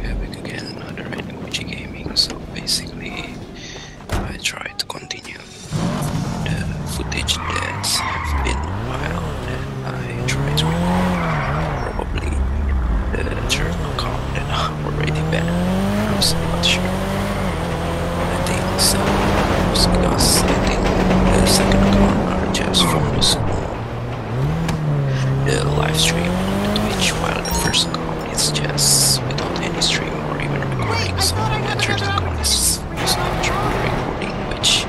Having again another Gucci Gaming, so basically I try to continue the footage that have been a I try to probably the journal account that I'm already banned. I'm not sure. I think so because I think the second account I just found is the live stream which, Twitch while the first comment is just without any stream or even recording, so after the is not recording, which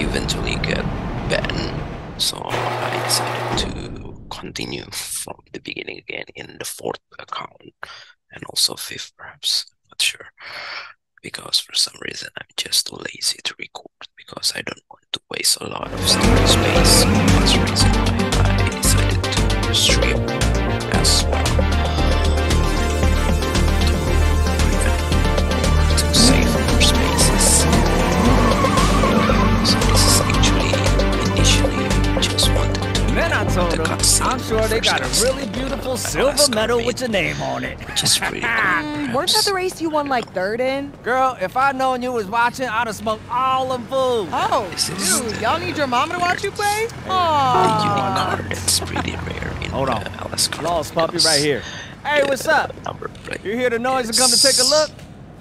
eventually got banned, so I decided to continue from the beginning again in the fourth account and also fifth perhaps, I'm not sure, because for some reason I'm just too lazy to record because I don't want to waste a lot of storage space. That's the reason why I decided to stream as well. To, save more spaces. So initially I just wanted to then the them, I'm sure they got a really beautiful silver medal with your name on it. Mm, weren't that the race you won like third in? Girl, if I known you was watching, I'd have smoked all them fools. Oh, dude, y'all need your mama to watch you play? Aww. You it's pretty rare Hold on. let's Uh, Lost puppy right here. Hey, what's up? You hear the noise and come to take a look?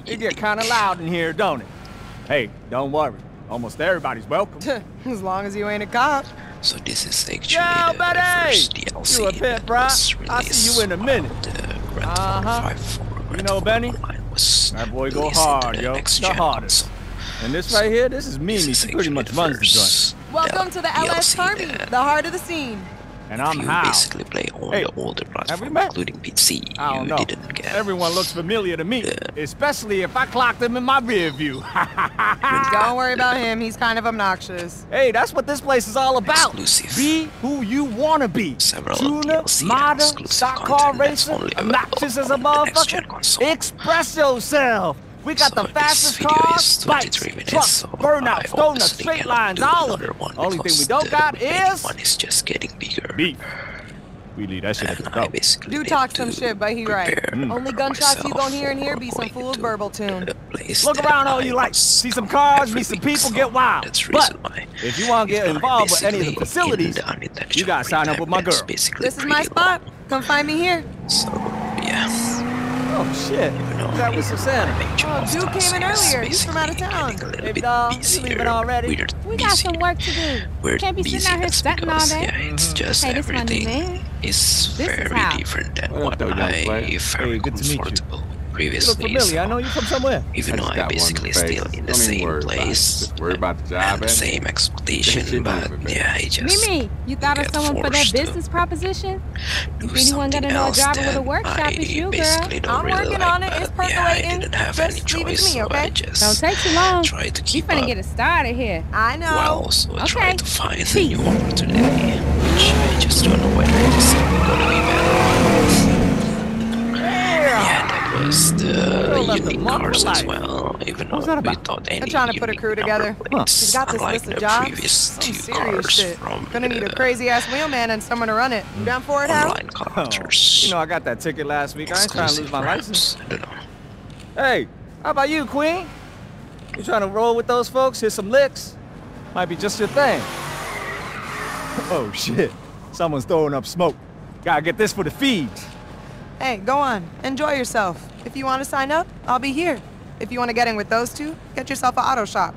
It get kind of loud in here, don't it? Hey, don't worry. Almost everybody's welcome. as long as you ain't a cop. So this is actually Yo, the buddy! first DLC. You a pimp, bro? I'll see you in a minute. Uh huh. You know, Benny, that boy go hard, yo. The hardest. And this right here, this is me. She pretty much runs the Welcome to the LS Army, the heart of the scene. And I'm you basically play on hey, the older platform, including PC. I don't know. Everyone looks familiar to me, especially if I clock them in my rear view. don't worry about him. He's kind of obnoxious. Hey, that's what this place is all about. Exclusive. Be who you want to be. Several Tuner, modern, stock car racer, obnoxious as a motherfucker. Express yourself. We got the fastest cars, bikes, minutes, trucks, so burnouts, donuts, straight lines, all of it. Only thing we don't got is... One is just getting bigger. Beef. We lead that shit at the top. Do talk some shit, but he right. Mm. Only gunshots you gon' hear and here be some fool's verbal tune find Look around all you like. See some cars, meet some people, get wild. but If you want to get involved with any of the facilities, you got to sign up with my girl. This is my spot. Come find me here. So, yeah. Oh, shit. that was Susanna. Oh, dude came in earlier. He's from out of town. Hey, doll. You leaving already? we got some work to do. We're Can't be sitting out here stunting all day. Yeah, it's just everything. This is very different than what, I felt hey, good to previously. I know you from somewhere. Even though I'm basically still in the same place. Worry about the job. And the eh? same expectation, but yeah, I just. Mimi, you thought of someone for that business proposition? anyone got another job with a workshop, it's you, girl. I'm working on it. It's percolating. I didn't have any choice, I okay? Try to keep up. gonna get it started here. I know. While also trying to find a new opportunity which I just don't know whether it's gonna be better or not. Yeah, that was the unique cars as well, even though we thought any I'm trying to put a crew together. She's got this list of jobs. Previous two serious shit. Gonna need a crazy ass wheelman and someone to run it. You down for it, Hal? Oh, you know, I got that ticket last week. I ain't trying to lose my license. Hey, how about you, Queen? You trying to roll with those folks? Hit some licks? Might be just your thing. Oh, shit. Someone's throwing up smoke. Gotta get this for the feeds. Hey, go on. Enjoy yourself. If you want to sign up, I'll be here. If you want to get in with those two, get yourself an auto shop.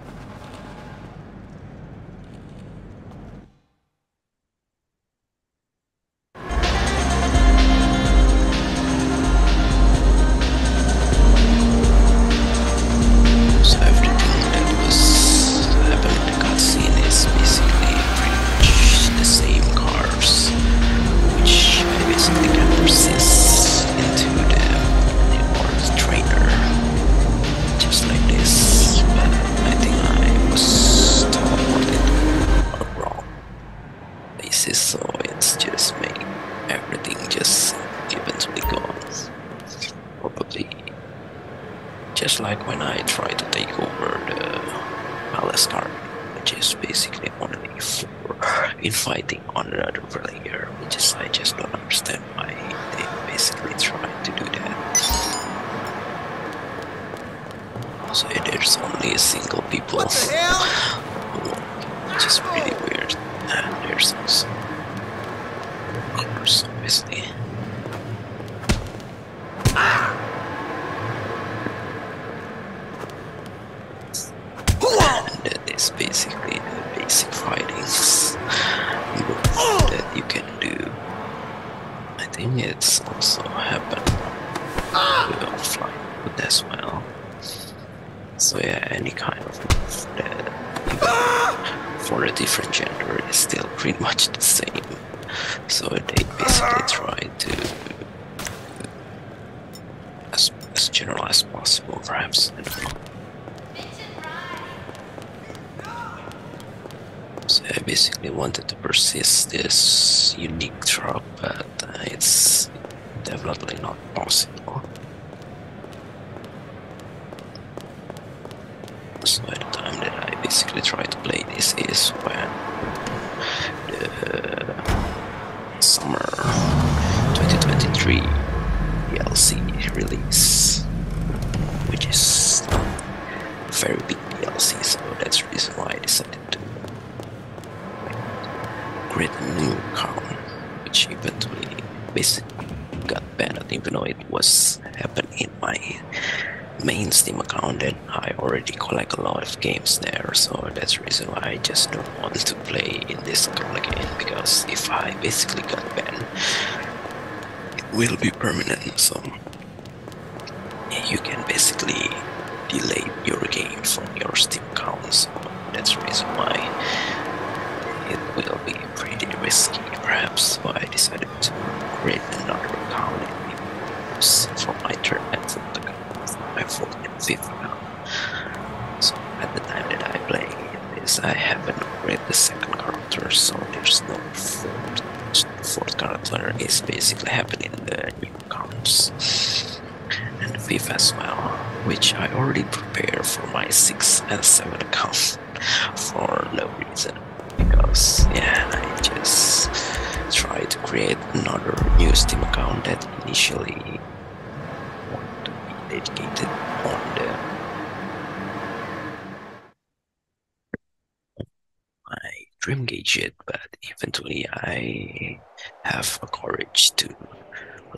So everything that was happened in the cutscene is basically pretty much the same cars, which I basically can persist into the Newborn's trainer, just like this. I think I was teleported on a wrong basis, so it's just made Everything just given to the gods, probably just like when I try to take over the palace card, which is basically only for inviting another player, which I just don't understand why they basically try to do that. So there's only a single people. Which is really weird. And there's Clippers, obviously. Ah. And it's basically the basic fighting that you can do. I think it's also happen with offline as well. So yeah, any kind of for a different gender is still pretty much the same. So they basically try to as, as general as possible, perhaps. So I basically wanted to persist this unique trope, but it's definitely not possible. So the time that I basically try to play this is when the uh, summer 2023 DLC release, which is very big DLC, so that's the reason why I decided to create a new account, which eventually basically got banned, I don't it was happen in my main Steam account and I already collect a lot of games there so that's the reason why I just don't want to play in this account again because if I basically got banned it will be permanent so you can basically delay your game from your Steam account so that's the reason why it will be pretty risky, perhaps, but I decided to create another account and for my third and fourth account, my fourth and fifth account. So at the time that I play this, I haven't upgraded the second character, so there's no fourth. Fourth character is basically happening the new accounts and fifth as well, which I already prepared for my sixth and seventh account for no reason because yeah I just try to create another new Steam account that initially wanted to be dedicated on the my dream gadget but eventually I have the courage to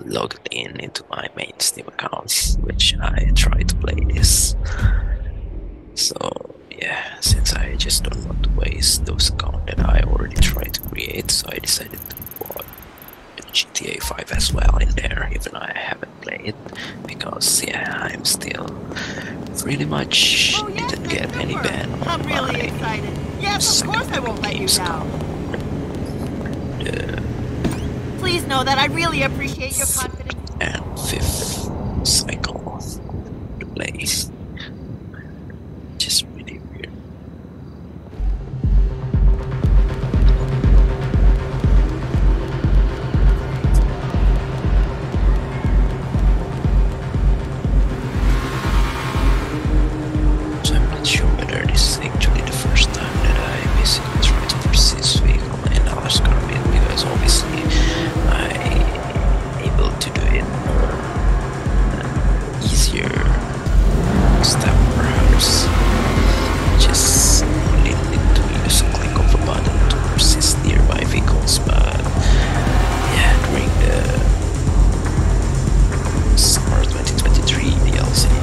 log in into my main Steam accounts, which I try to play this. So yeah, since I just don't want to waste those accounts that I already tried to create, so I decided to put GTA 5 as well in there, even I haven't played it, because yeah, I'm still pretty much oh, didn't get any ban on I'm really my excited. Yes, of course I won't let you down. Please know that I really appreciate your confidence. And fifth cycle to play. Just really weird. So I'm not sure whether this is actually the first time that I sequence right to proceed vehicle in Alaska because obviously I able to do it easier step perhaps just only to click of a button to persist nearby vehicles but yeah during the summer 2023 DLC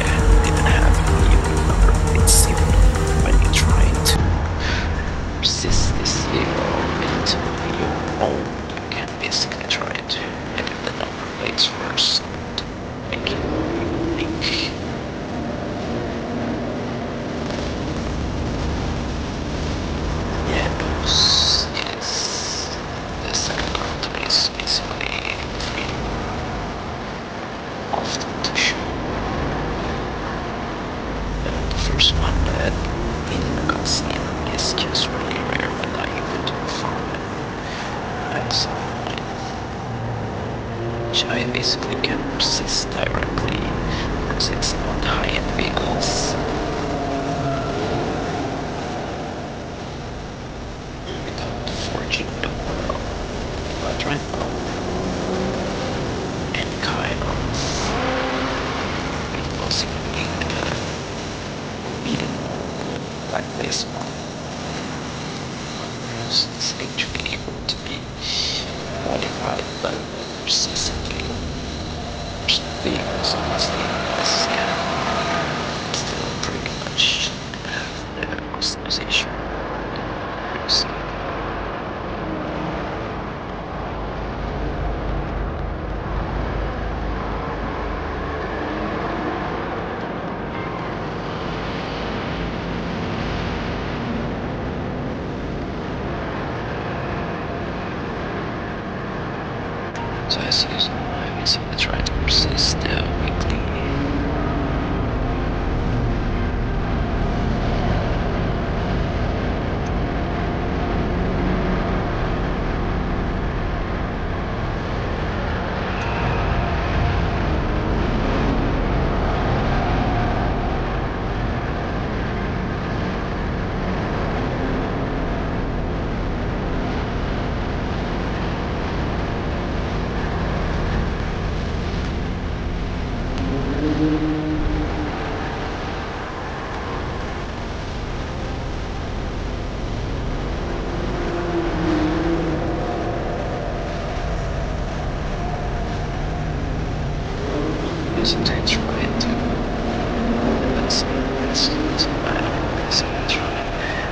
there have an even number. It's even when you try to resist this evil into your own, you can basically try to edit the number plates first make it unique of the tissue. the first one that in calcium is just really rare, but I even found it. I saw which I basically can process directly because it's not high-end vehicles without forging fortune, world, but right and Kairos. It was indeed forbidden like this one. This is actually going to be modified by recently. Things are still still pretty much Position. So I see there's no I try to persist uh, quickly sometimes trying to, but sometimes it's not, sometimes trying.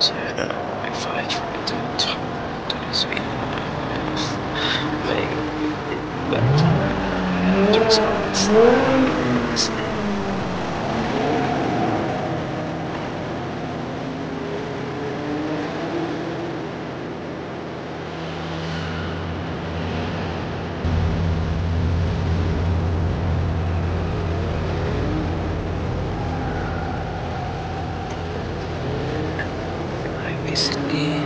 Uh, if I try to do this video, make but the uh, uh, results is I basically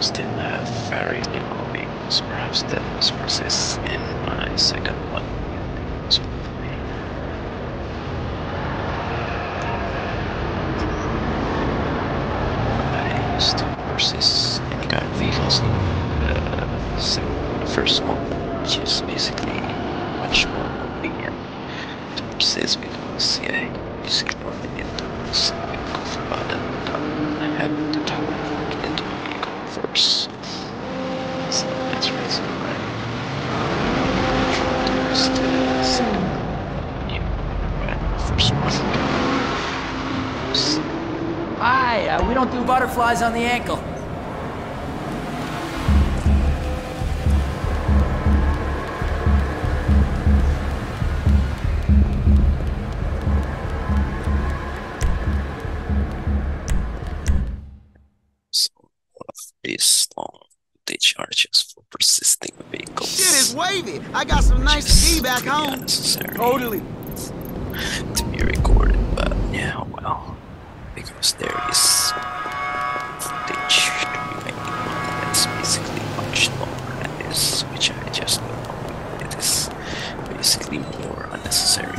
still have very little means. Perhaps that must persist in my second one. So, I to process any kind of vehicles in uh, the first one which is basically much more convenient to process because yeah, it's convenient um, to think of rather than having to type of into converts. So that's the reason why I'm trying to the second yeah, right, first one. Hi, uh, we don't do butterflies on the ankle. So Based on the charges for persisting vehicles. Shit is wavy. I got some nice tea back home. Totally. To be recorded, but yeah, well because there is stitch to be made that's basically much longer than this which I just know it is basically more unnecessary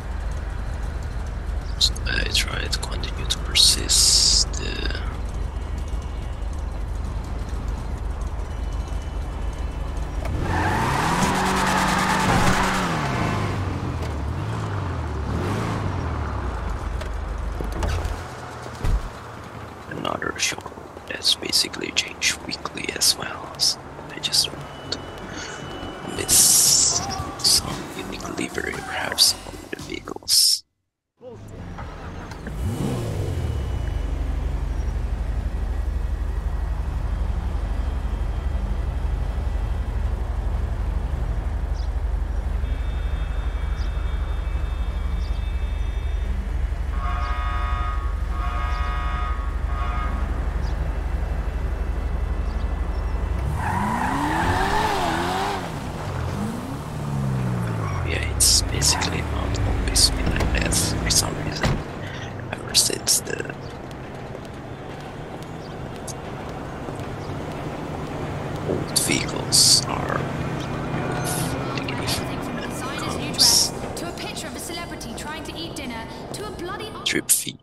So I try to continue to persist. Uh, another show that's basically changed weekly as well. So just Miss some unique livery, perhaps on the vehicles. Oh, yeah, it's basically not always been like that for some reason. Ever since the old vehicles are negative. Trip fee.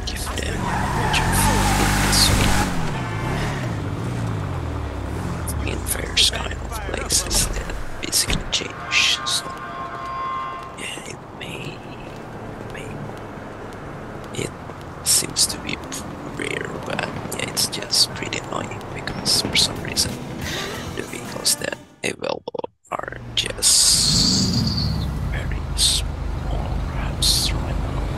In fair the places that basically change. So yeah, it may, may. It seems to be rare, but yeah, it's just pretty annoying because for some reason the vehicles that available are just very perhaps through an hole.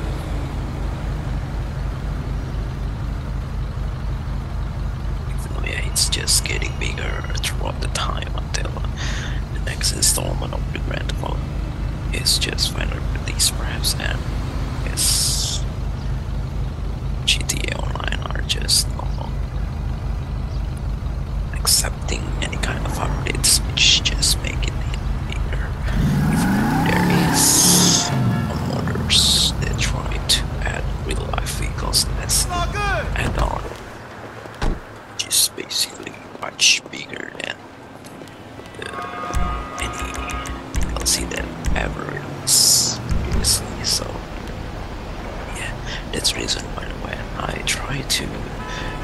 It's just getting bigger throughout the time until the next installment of the Grand Fall is just finally released. perhaps, and yes, GTA Online are just not accepting any kind of updates, which just make it if there is a motors, they try to add real life vehicles as add on. Which is basically much bigger than uh, any see that ever released previously, so yeah, that's reason why the I try to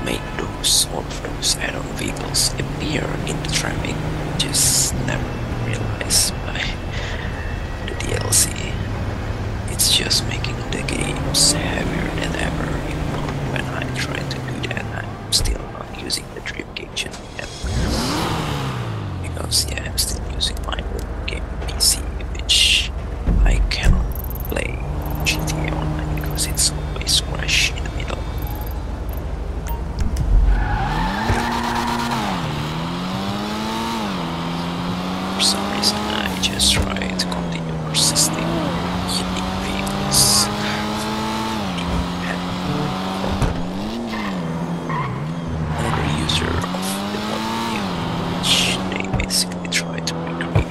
make those all of those add-on vehicles appear in the traffic. Just never realized by the DLC. It's just making the games heavier than ever. Even when I try to do that, I'm still not using the Dream Kitchen yet. Because yeah, I'm still using my old game PC, which I cannot play GTA Online because it's always crash in the middle. For some reason I just try to continue persisting unique vehicles another user of the mod which they basically try to recreate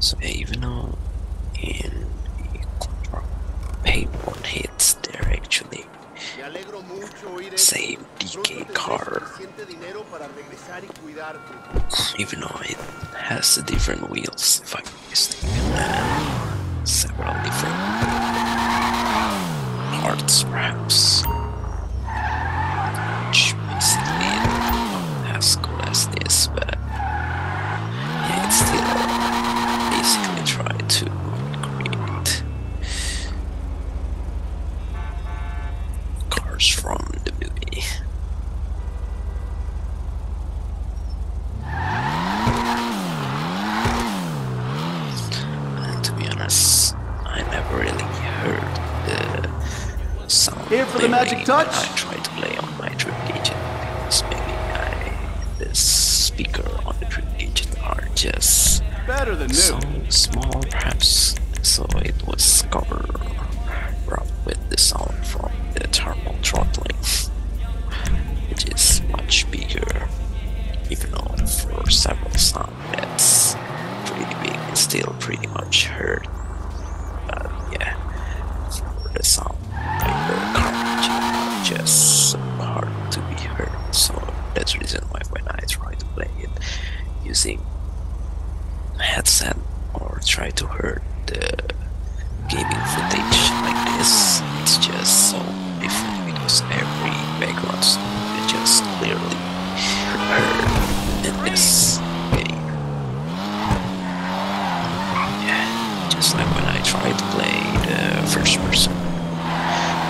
So yeah, even though in control paintball hits, they're actually save DK car. Even though it has the different wheels, if I'm mistaken, and uh, several different parts perhaps. Which makes it as cool as this, but that. Yeah, still basically try to create cars from the movie. And to be honest, I never really heard the sound. Here for the magic touch on my trip agent. Maybe I, the speaker on the trip agent are just better than new. So small, perhaps. So it was covered up with the sound from the thermal throttling, which is much bigger. Even though for several sound that's pretty big, it's still pretty much heard. But uh, yeah, for some like the coverage just hard to be heard. So that's the reason why when I try to play it using headset or try to hear the gaming footage like this, it's just so different because every background is just clearly heard in this game just like when I try to play the first person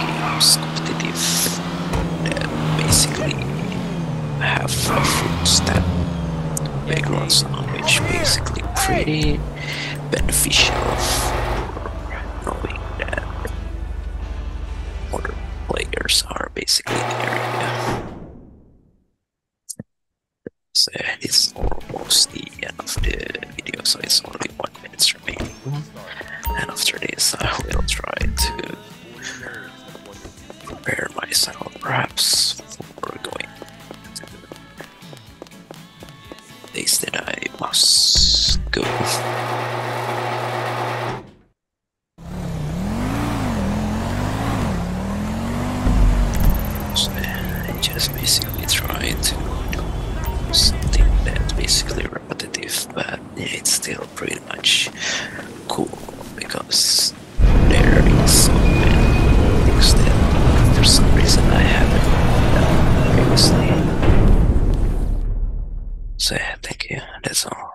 games competitive that basically have a full step background sound which basically pretty beneficial of knowing that other players are basically there. So it's almost the end of the video, so it's only one minutes remaining. And after this, I will try to prepare myself, perhaps for going to the that I must go. So I just basically trying to do something that basically repetitive, but yeah, it's still pretty much cool because there is so many things that for some reason I haven't done previously. So thank you, that's all.